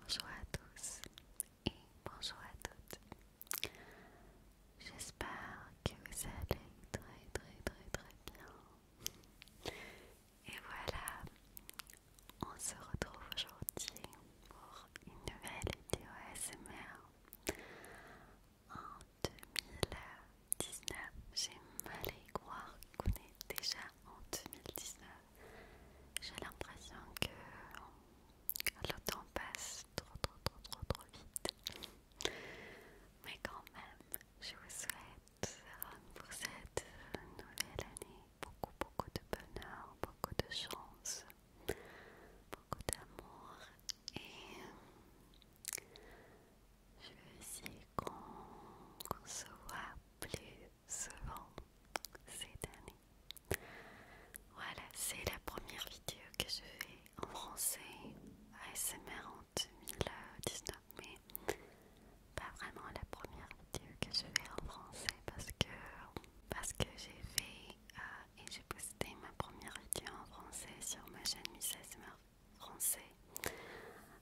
Bonjour à tous et bonjour à toutes. J'espère que vous allez très très très très bien. Et voilà, on se retrouve aujourd'hui pour une nouvelle vidéo ASMR. En 2019, j'ai mal croire qu'on est déjà en 2019 j'ai l'impression que le temps passe trop trop trop trop vite. Mais quand même, je vous souhaite pour cette nouvelle année beaucoup beaucoup de bonheur, beaucoup de chance, beaucoup d'amour et je veux essayer qu'on se voit plus souvent cette année. Voilà, c'est la première vidéo que je fais en français ASMR en 2019, mais pas vraiment la première vidéo que je fais en français parce que, parce que j'ai fait euh, et j'ai posté ma première vidéo en français sur ma chaîne Miss ASMR français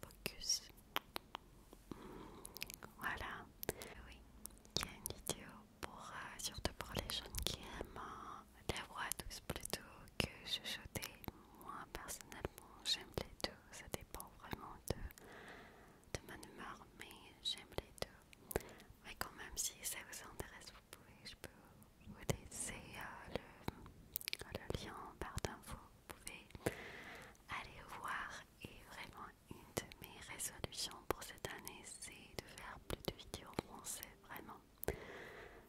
Focus. Voilà. Oui, il y a une vidéo pour, euh, surtout pour les jeunes qui aiment euh, les voix douces plutôt que chuchoter. Moi, personnellement, j'aime les deux. Ça dépend vraiment de, de ma humeur, mais j'aime les deux. Mais quand même, si ça vous intéresse, vous pouvez, je peux vous laisser euh, le, le lien barre d'infos vous pouvez aller voir. Et vraiment, une de mes résolutions pour cette année, c'est de faire plus de vidéos en français, vraiment.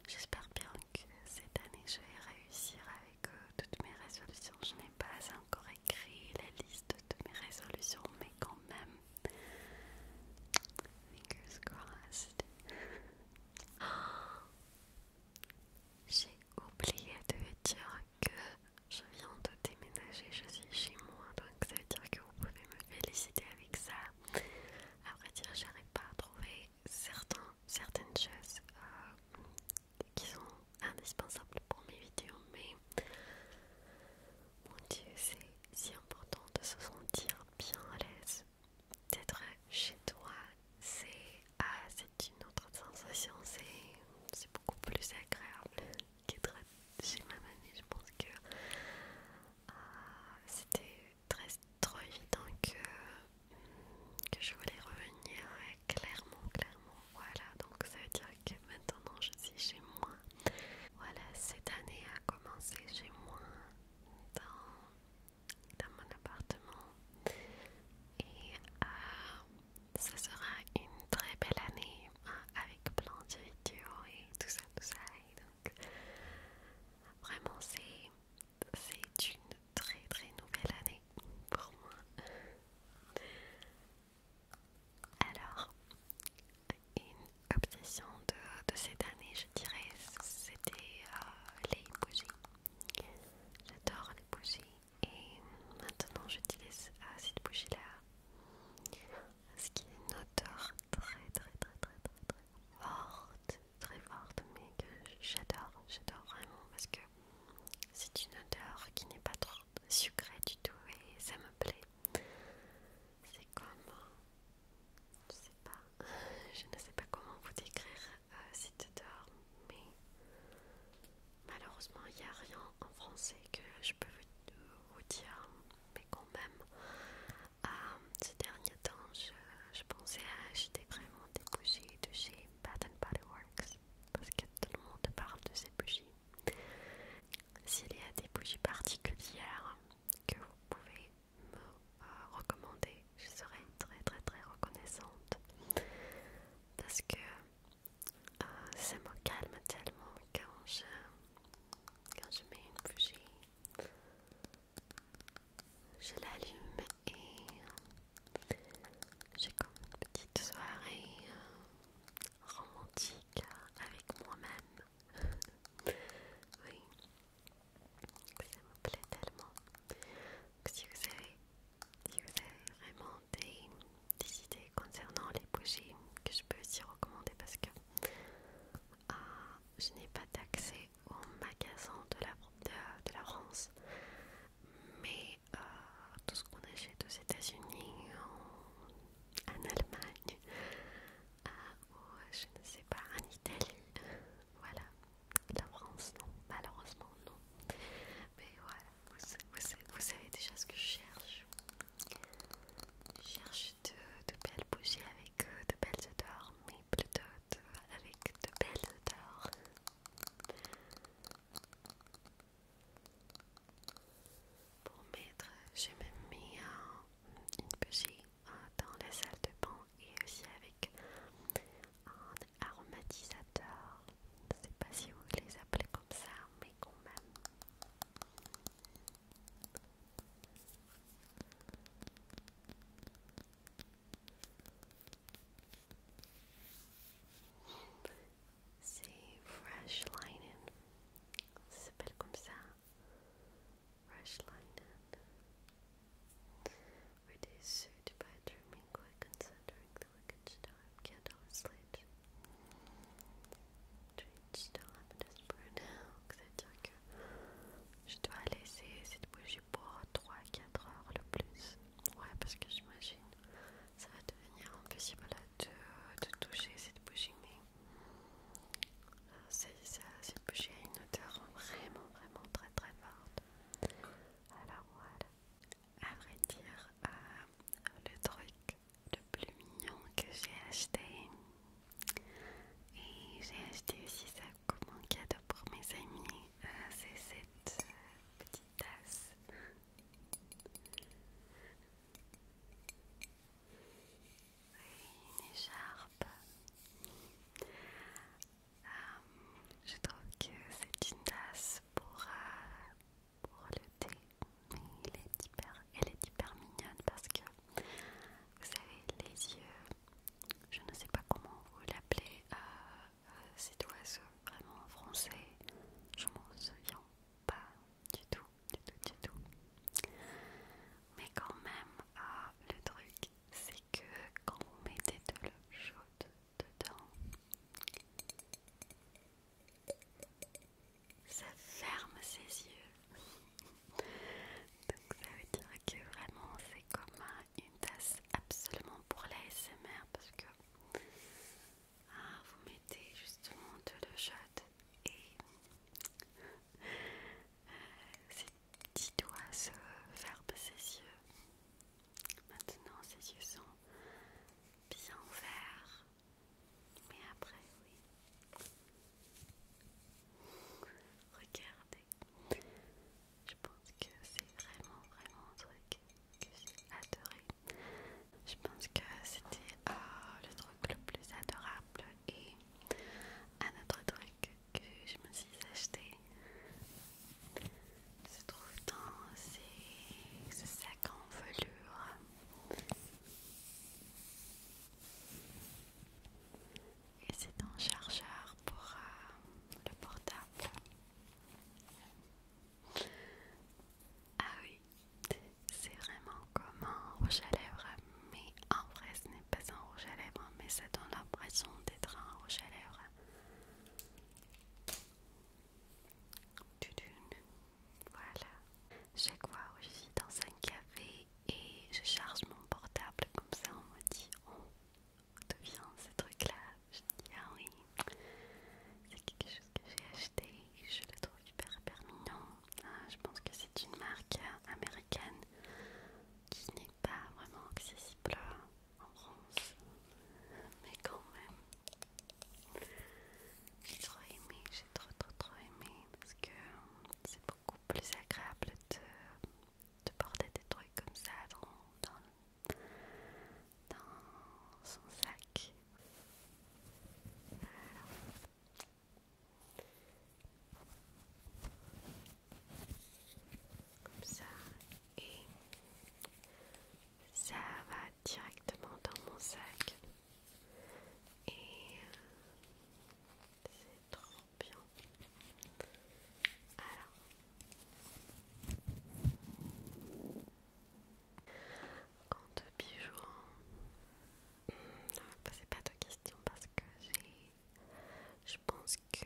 J'espère bien que cette année, je vais réussir avec euh, toutes mes résolutions. Je n'ai pas encore écrit la liste de mes résolutions, mais quand même, fingers crossed. J'ai oublié de dire que je viens de déménager, je suis chez moi, donc ça veut dire que vous pouvez me féliciter avec ça. Après dire, j'arrive pas à trouver certains, certaines choses euh, qui sont indispensables pour mes vidéos, mais mon Dieu, c'est si important de se sentir bien à l'aise. D'être chez toi, c'est assez. Ah, une autre sensation, c'est beaucoup plus agréable qu'être chez ma mamie. Je pense que euh, c'était très trop évident que, je voulais revenir clairement, clairement. Voilà, donc ça veut dire que maintenant je suis chez moi. Voilà, cette année a commencé chez moi dans, mon appartement. Et à euh, ce sera une très belle année hein, avec plein de vidéos et tout ça, tout ça. donc, vraiment, c'est une très très nouvelle année pour moi. Alors, une obsession de, cette année, je dirais, c'était euh, les bougies. J'adore les bougies. Et maintenant j'utilise acide cette bougie là, ce qui est une odeur très très très très très très forte, très forte, mais que j'adore, j'adore vraiment parce que c'est une odeur qui n'est pas trop sucrée du tout et ça me plaît. C'est comme, je sais pas, je ne sais pas comment vous décrire euh, cette odeur, mais Malheureusement, il n'y a rien en français que je peux vous dire, mais quand même, euh, ces derniers temps, je, pensais à acheter vraiment des bougies de chez Bath Body Works parce que tout le monde parle de ces bougies. S'il y a des bougies particulières que vous pouvez me euh, recommander, je serais très très très reconnaissante parce que ah, ça me calme tellement quand je, quand je mets une bougie. Je l'allume et j'ai comme une petite soirée euh, romantique avec moi-même. oui, ça me plaît tellement. si vous avez si vous avez vraiment des, idées concernant les bougies que je peux aussi recommander parce que ah, je n'ai pas d'accès au magasin de la, la France mais euh, tout ce qu'on achète aux États-Unis, en, Allemagne ah, ou je ne sais pas, en Italie, voilà, la France non, malheureusement non, mais voilà, vous, savez déjà ce que je cherche. Je cherche de, belles bougies avec euh, de belles odeurs, mais plutôt avec de belles odeurs. Pour mettre, j'ai même mis une bougie euh, dans la salle de bain et aussi avec aromatisateurs. Je ne sais pas si vous les appelez comme ça, mais quand même. C'est Fresh Linen. Ça s'appelle comme ça. Fresh Linen. It is sued by German considering c'est-à-dire que je dois laisser cette bougie pour 3-4 heures le plus. Ouais, parce que j'imagine que ça va devenir impossible de, toucher cette bougie, mais c'est ça, cette bougie a une odeur vraiment, vraiment très, très forte. Alors voilà à vrai dire, euh, le truc le plus mignon que j'ai acheté. Et j'ai acheté aussi ça comme un cadeau pour mes amis. Euh, c'est cette euh, petite tasse. Une écharpe. je trouve que c'est une tasse pour pour le thé, mais est elle est hyper mignonne parce que vous savez, les yeux, je ne sais pas comment vous l'appelez, euh, euh, cet oiseau vraiment français, je m'en souviens pas du tout, du tout, du tout. Mais quand même, ah, le truc, c'est que quand vous mettez de l'eau chaude dedans. Ça ferme ses yeux. Donc ça veut dire que vraiment c'est comme une tasse absolument pour l'ASMR parce que ah, vous mettez justement de le chaude et ses euh, petits doigts se ferment ses yeux. Maintenant ses yeux sont bien verts mais après, oui. Regardez. Je pense que c'est vraiment, vraiment un truc que j'ai adoré. Je pense que c'était ah, le truc le plus adorable. Et un autre truc que je me suis acheté se trouve dans ces, ce sac en velours. Et c'est un chargeur pour euh, le portable. Ah oui, c'est vraiment comme un rouge à lèvres, mais en vrai ce n'est pas un rouge à lèvres, mais ça donne l'impression d'être un rouge à lèvres. Voilà. Chaque fois où je suis dans un café et je charge mon portable comme ça, on me dit oh, devient ce truc-là. Je dis ah oui, c'est quelque chose que j'ai acheté, je le trouve hyper hyper ah, je pense que c'est une marque américaine qui n'est pas vraiment accessible en France, mais quand même. J'ai trop aimé, j'ai trop trop trop aimé parce que euh, c'est beaucoup plus agréable de, de porter des trucs comme ça dans, son sac. Comme ça, et ça va directement dans mon sac. Et euh, c'est trop bien. Alors, compte bijoux, hmm, ne me posez pas de questions parce que j'ai. Je pense que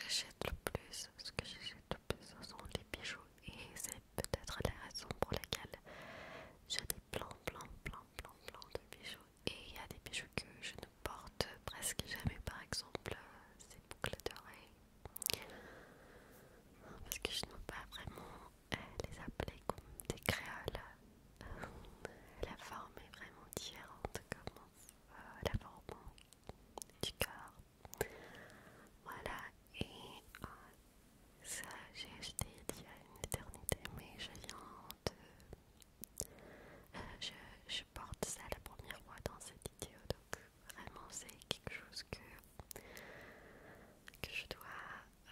j'achète le plus, ce que j'achète le plus, ce sont les bijoux et c'est peut-être la raison pour laquelle j'ai des plein, plein, plein, plein, de bijoux. Et il y a des bijoux que je ne porte presque jamais, par exemple euh, ces boucles d'oreilles. Parce que je n'ai pas vraiment euh, les appeler comme des créoles. Euh, la forme est vraiment différente, comme la forme du corps Voilà, et euh, ça, j'ai acheté il y a une éternité, mais je viens de. Euh, je, porte ça la première fois dans cette vidéo, donc vraiment, c'est quelque chose que, que je dois.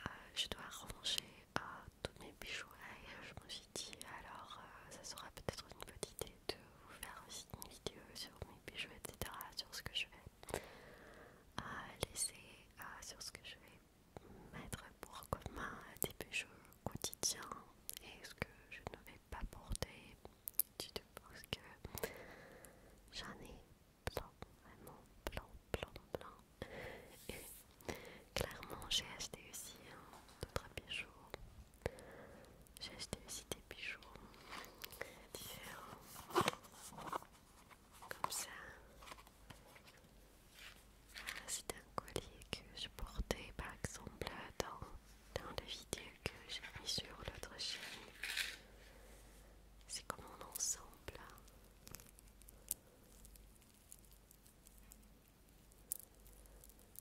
Euh, je dois ranger à tous mes bijoux et je me suis dit alors ça sera peut-être une bonne idée de vous faire aussi une vidéo sur mes bijoux etc sur ce que je fais à laisser sur ce que je vais mettre pour commun des bijoux quotidiens et ce que je ne vais pas porter du tout parce que j'en ai plein, vraiment plein, plein, plein. Et clairement, j'ai acheté aussi hein, d'autres bijoux. J'ai acheté aussi des bijoux différents comme ça. C'est un collier que je portais par exemple dans, dans la vidéo que j'ai mis sur l'autre chaîne. C'est comme un ensemble. Hein.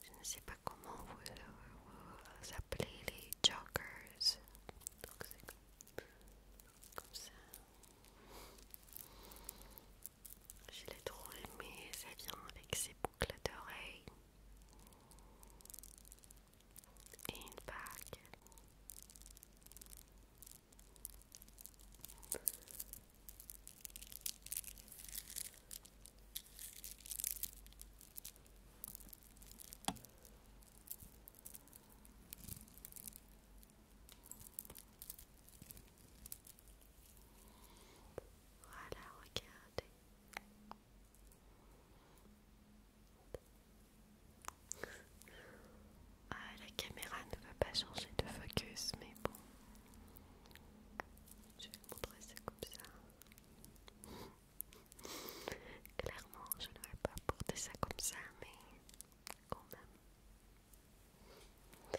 Je ne sais pas comment vous, euh, appelez les jokers comme ça. Je l'ai trop aimé, ça vient avec ses boucles d'oreilles et une bague. Voilà, regardez. Ah, la caméra ne va pas changer de focus, mais bon. Je vais montrer ça comme ça. Clairement, je ne vais pas porter ça comme ça, mais et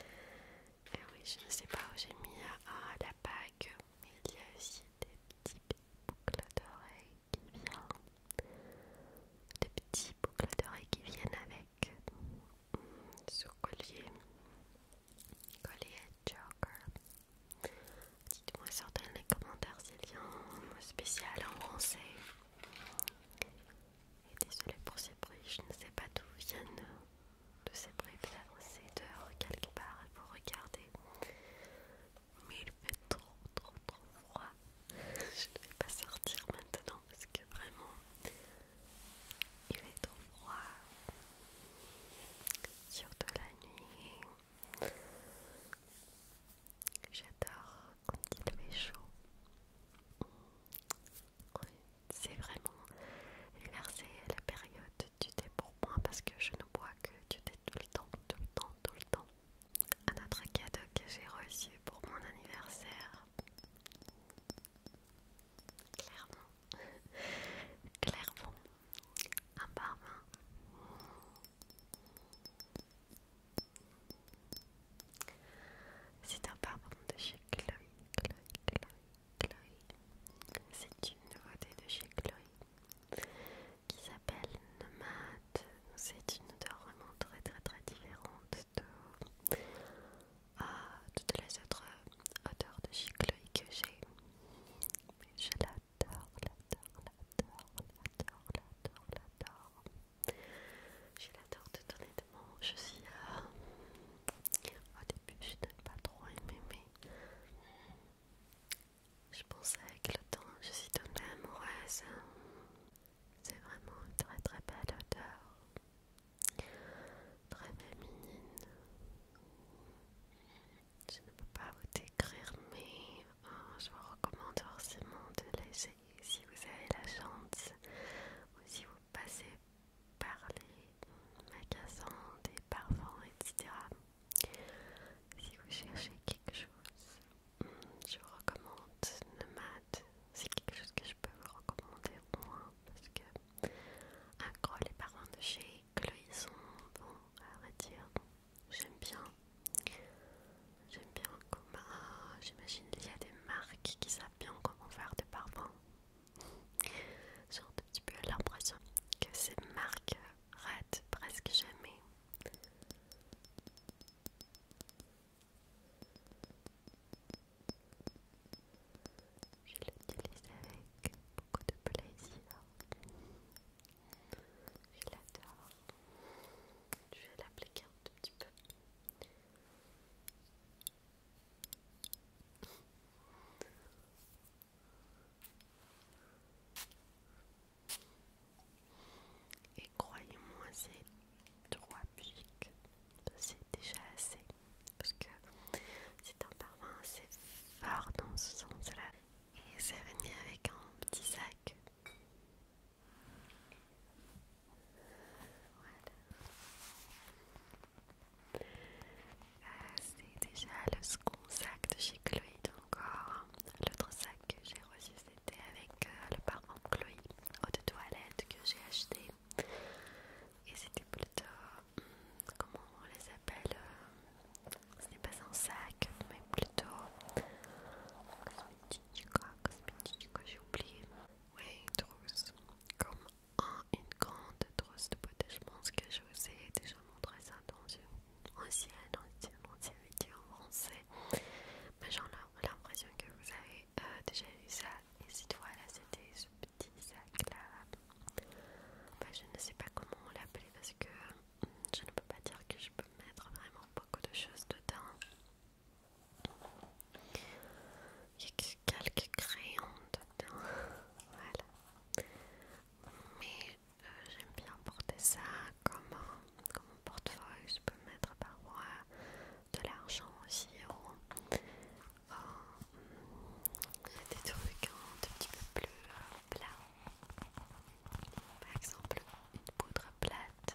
eh oui, je ne sais pas où j'ai mis hein. ah, la bague, mais il y a aussi des petites boucles d'oreilles qui viennent. Des boucles d'oreilles qui viennent avec ce hmm, collier. Collier Joker. Dites-moi sur dans les commentaires s'il y a un mot spécial en français et désolé pour ces bruits, je ne sais pas d'où viennent de ces bruits, vous dehors quelque part, il faut regarder. Mais il fait trop trop trop froid. Je ne vais pas sortir maintenant parce que vraiment il est trop froid. Surtout la nuit. J'adore il fait chaud. c'est vraiment l'université la période du thé pour moi parce que je ne bois que du thé tout le temps, tout le temps, tout le temps. Un autre cadeau que j'ai reçu pour mon anniversaire, clairement, clairement, un parfum. C'est un parfum de chez Chloé, Chloé, Chloé, C'est une nouveauté de chez Chloé qui s'appelle Nomad. C'est une odeur vraiment très très très différente de ah, toutes les autres odeurs de chez que j'ai. Je l'adore, l'adore, l'adore, l'adore, l'adore, l'adore. J'ai la tout honnêtement, je suis euh, Au début, je n'ai pas trop aimé, mais... Je pensais avec le temps, je suis tombée amoureuse. C'est vraiment une très très belle odeur. Très féminine. Je ne peux pas vous décrire, mais euh, je vous recommande forcément de laisser si vous avez la chance ou si vous passez par les magasins, des parfums, etc. Si vous cherchez quelque chose, hmm, je vous recommande Nomade. C'est quelque chose que je peux vous recommander au moins parce que, un gros, les parfums de chez Chloé sont, bon, à dire, j'aime bien. J'aime bien comment. J'imagine qu'il y a des marques qui savent bien comment faire des parfums. J'ai un petit peu l'impression que ces marques ratent presque jamais. Je l'utilise avec beaucoup de plaisir. Je l'adore. Je vais l'appliquer un tout petit peu. Et croyez-moi, ces trois pics, c'est déjà assez. Parce que c'est un parfum assez fort dans ce sens-là. Et c'est venu avec un petit sac voilà. Euh, c'est déjà le second sac de chez Chloé encore. L'autre sac que j'ai reçu c'était avec euh, le parfum Chloé haute de toilette que j'ai acheté. Et c'était plutôt... Hmm, comment on les appelle euh, Ce n'est pas un sac, mais plutôt... Cosmétique, quoi, cosmétique, j'ai oublié. Oui, trousse. comme une grande trousse de beauté Je pense que je vous ai déjà montré ça dans une ancienne, vidéo en français. Mais j'ai l'impression que vous avez euh, déjà vu ça. Et cette fois là, c'était ce petit sac là. je ne sais pas comment on parce que hum, je ne peux pas dire que je peux mettre vraiment beaucoup de choses dedans. Il y a quelques crayons dedans. voilà. Mais euh, j'aime bien porter ça comme portefeuille. Je peux mettre parfois de l'argent aussi. Ou, des trucs hein, un petit peu plus euh, plats. Par exemple, une poudre plate.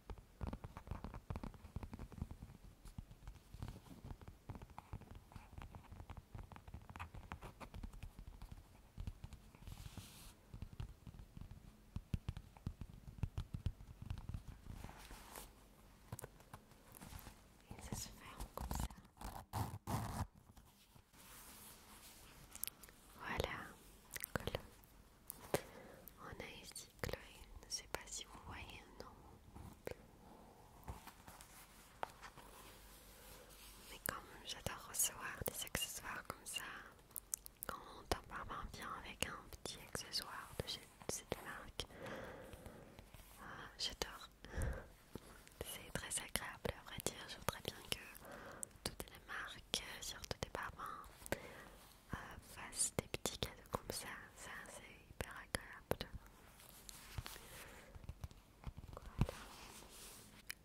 Et ça se ferme comme ça. Voilà, on a ici Chloé, je ne sais pas si vous voyez un nom. Mais comme j'adore recevoir des accessoires comme ça, quand un parfum vient avec un petit accessoire de cette marque, ah, j'adore. C'est très agréable, à vrai dire. Je voudrais bien que toutes les marques, surtout des parfums, face des petits cadeaux comme ça, ça c'est hyper agréable.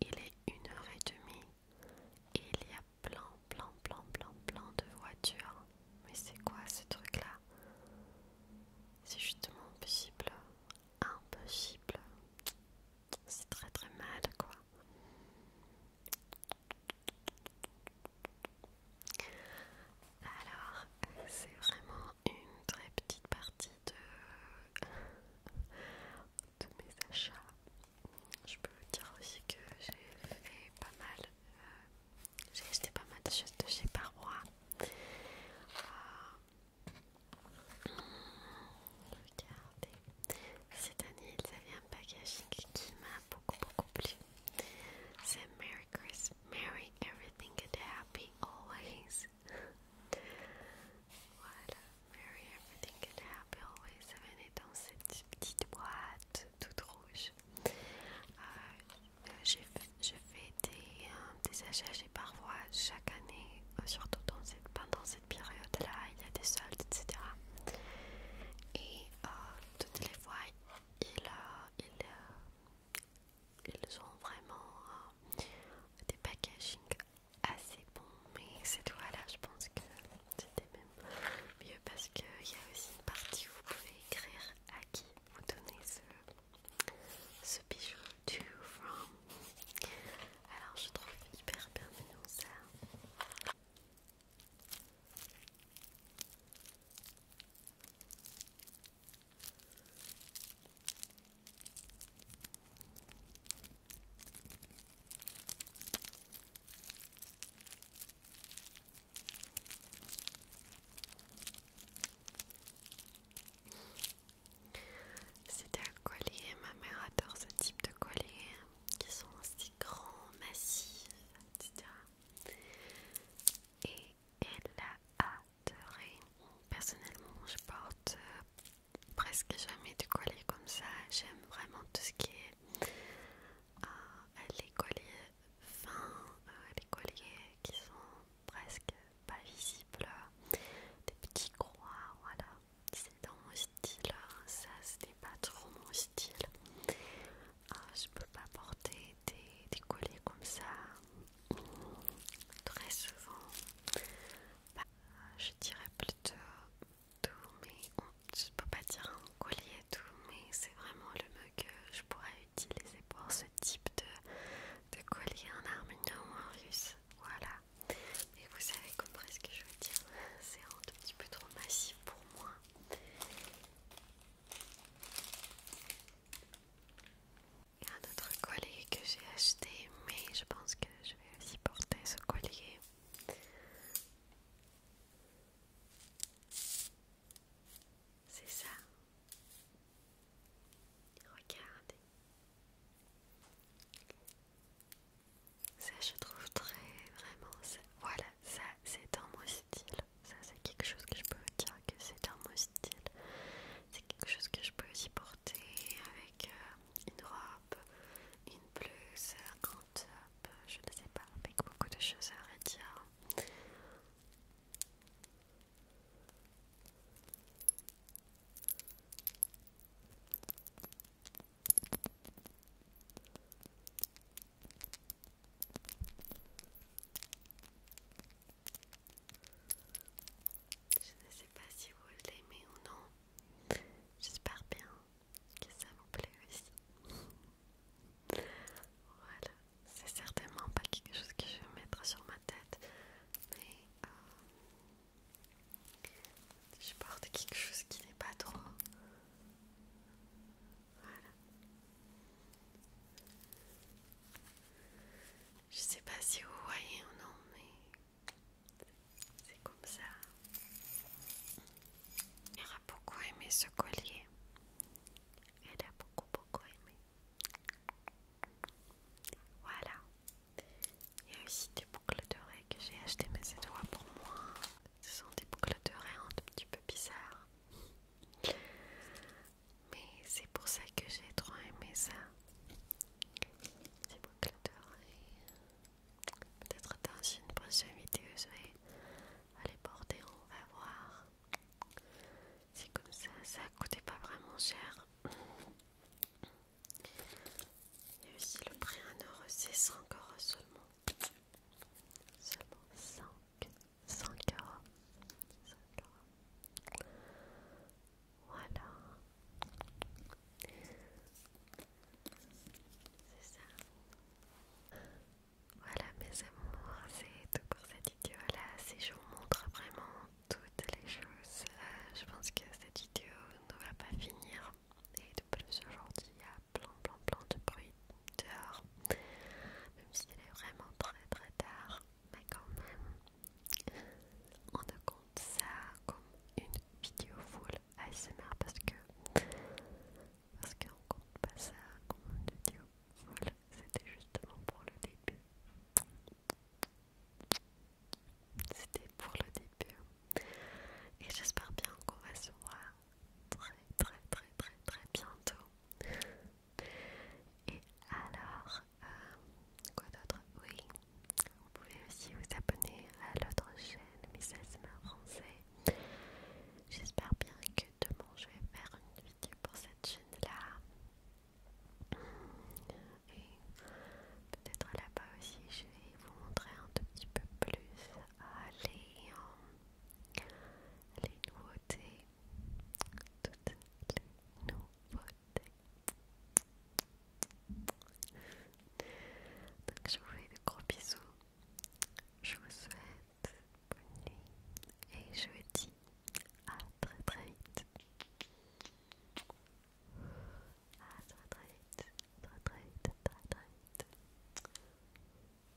Il est une heure et demie et il y a plein, plein, plein, plein, plein de voitures. Mais c'est quoi ce truc-là C'est justement impossible. Impossible. C'est très très mal quoi. Alors, c'est vraiment une très petite partie de, mes achats. Je peux vous dire aussi que j'ai fait pas mal, euh, j'ai acheté pas mal de choses de chez Parois. Euh, hmm, regardez, cette année ils avaient un packaging qui m'a c'est Merry Christmas, Merry Everything and Happy Always. voilà, Merry Everything and Happy Always. Ça venait dans cette petite boîte toute rouge. Euh, euh je, fais euh, des, achats chez parfois chaque année, euh, surtout pendant cette période-là, il y a des soldes, etc. Et toutes les fois, ils, euh, euh, ils ont vraiment euh, des packaging assez bons. Mais cette fois-là, je pense que c'était même mieux parce qu'il y a aussi une partie où vous pouvez écrire à qui vous donnez ce, bijou to from. Alors, je trouve hyper bien ça. C'était un collier, ma mère adore ce type de collier hein, qui sont si grands, massifs et elle a adoré. Personnellement, je porte euh, presque jamais de collier comme ça. J'aime vraiment tout ce qui est euh, les colliers fins, euh, les colliers qui sont presque pas visibles, des petits croix, voilà. C'est dans mon style, hein. ça c'était pas trop mon style. Ah, je peux pas porter des, colliers comme ça très souvent. Bah, je dirais plutôt tout, mais je peux pas dire un collier tout, mais c'est vraiment le mieux que je pourrais utiliser pour ce type de, collier en arménien ou en russe. Voilà. Et vous avez compris ce que je veux dire, c'est un tout petit peu trop massif pour moi. Un autre collier que j'ai acheté, mais je pense que je vais aussi porter ce collier. C'est ça. Regardez. Ça, je trouve très vraiment. Voilà, ça c'est dans mon style. Ça c'est quelque chose que je peux dire que c'est un mon style. C'est quelque chose que je peux aussi porter avec euh, une robe, une blouse, un top, je ne sais pas, avec beaucoup de choses à redire. Je ne sais pas si vous l'aimez ou non. J'espère bien que ça vous plaît aussi. Voilà, c'est certainement pas quelque chose que je vais mettre sur ma tête, mais euh, je porte quelque chose qui n'est pas trop voilà. Je sais pas si vous voyez ou non, mais c'est comme ça. Elle a beaucoup aimé ce collier. Elle a beaucoup, beaucoup aimé. Voilà. Il y a aussi des boucles d'oreilles que j'ai achetées, mais c'est toi pour moi. Ce sont des boucles d'oreilles un tout petit peu bizarres. Mais c'est pour ça que j'ai trop aimé ça. J'ai beaucoup d'oreilles. Peut-être dans une prochaine vidéo, je vais aller porter, on va voir. C'est comme ça, ça coûtait pas vraiment cher. Il y a aussi le prix 1,6€ encore seulement. Seulement 5, 5 euros. Voilà. C'est ça. Voilà mes amours, c'est tout pour cette vidéo là. Si je vous montre vraiment toutes les choses, euh, je pense que cette vidéo ne va pas finir. Et de plus aujourd'hui, il y a plein blanc plein de bruit dehors, même s'il est vraiment très très tard, mais quand même, on ne compte ça comme une vidéo full ASMR parce que, parce qu'on compte pas ça comme une vidéo full, c'était justement pour le début. C'était pour le début. Et j'espère bien qu'on va se voir très très très très très bientôt. Et alors, euh, quoi d'autre Oui, vous pouvez aussi vous abonner à l'autre chaîne, mais ma français. J'espère bien que demain je vais faire une vidéo pour cette chaîne-là. Et peut-être là-bas aussi je vais vous montrer un tout petit peu plus Allez. Hein les nouveautés, toutes les nouveautés. Donc je vous fais de gros bisous, je vous souhaite bonne nuit et je vous dis à très très vite. À très très vite, très très vite, très très vite.